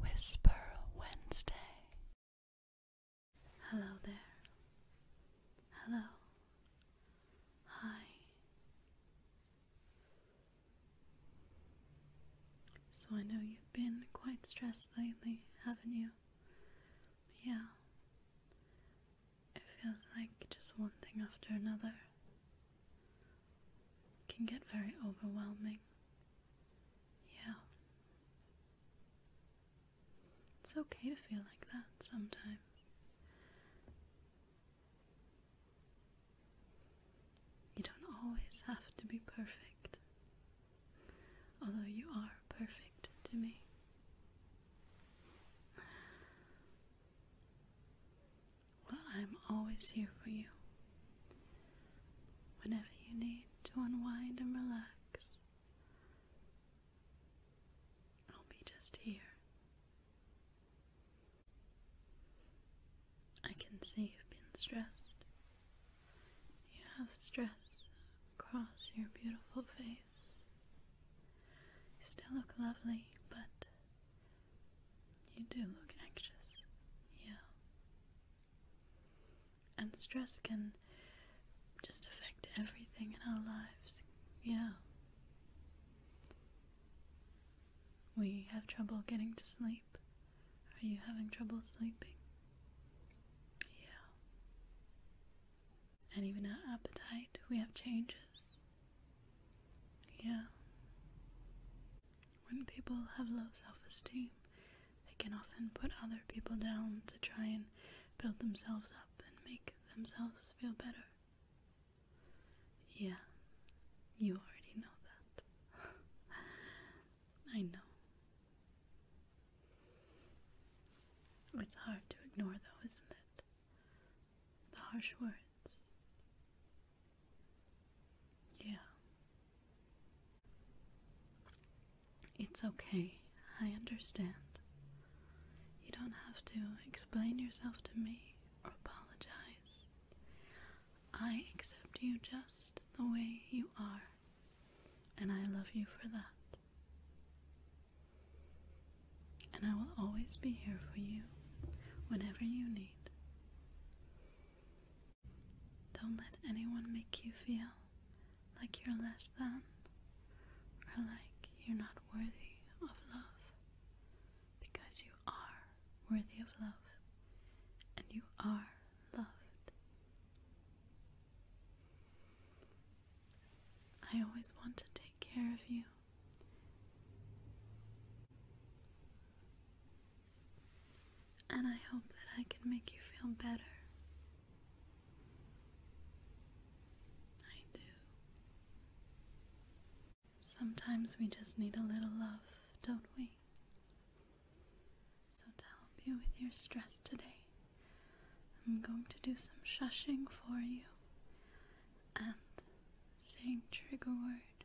Whisper Wednesday. Hello there. Hello. Hi. So I know you've been quite stressed lately, haven't you? Yeah. It feels like just one thing after another. can get very overwhelming. Yeah. It's okay to feel like that sometimes. You don't always have to be perfect, although you are perfect to me. Well, I'm always here for you. Whenever you need to unwind and relax, I'll be just here. I can see you've been stressed. You have stress across your beautiful face. You still look lovely, but you do look anxious, yeah. And stress can just affect everything in our lives, yeah. We have trouble getting to sleep. Are you having trouble sleeping? Yeah. And even our appetite, we have changes. Yeah. When people have low self esteem, they can often put other people down to try and build themselves up and make themselves feel better. Yeah, you already know that. I know. It's hard to ignore, though, isn't it? The harsh words, yeah. It's okay. I understand. You don't have to explain yourself to me or apologize. I accept you just the way you are, and I love you for that. And I will always be here for you whenever you need. Don't let anyone make you feel like you're less than or like you're not worthy of love because you are worthy of love and you are loved. I always want to take care of you and I hope that I can make you feel better. I do. Sometimes we just need a little love, don't we? So, to help you with your stress today, I'm going to do some shushing for you and saying trigger word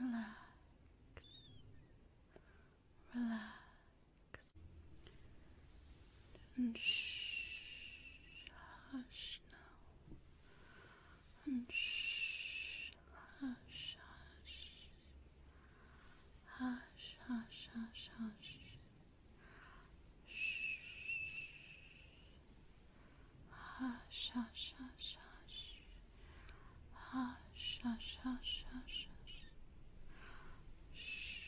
Relax. Relax. And shh, hush now. And shh, hush, hush. Hush, hush, hush, hush. Hush, hush, hush, hush. Hush, hush, hush, hush, hush. Shh.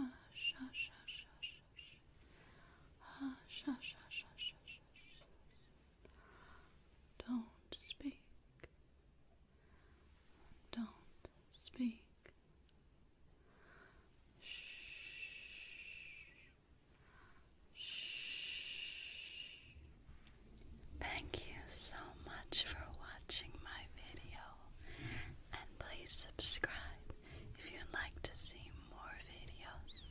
Hush, hush, hush, hush, hush. Hush, hush, hush, hush, hush. Don't speak. Don't speak. Shh. Shh. Thank you so much for watching my video, and please subscribe if you'd like to see more videos.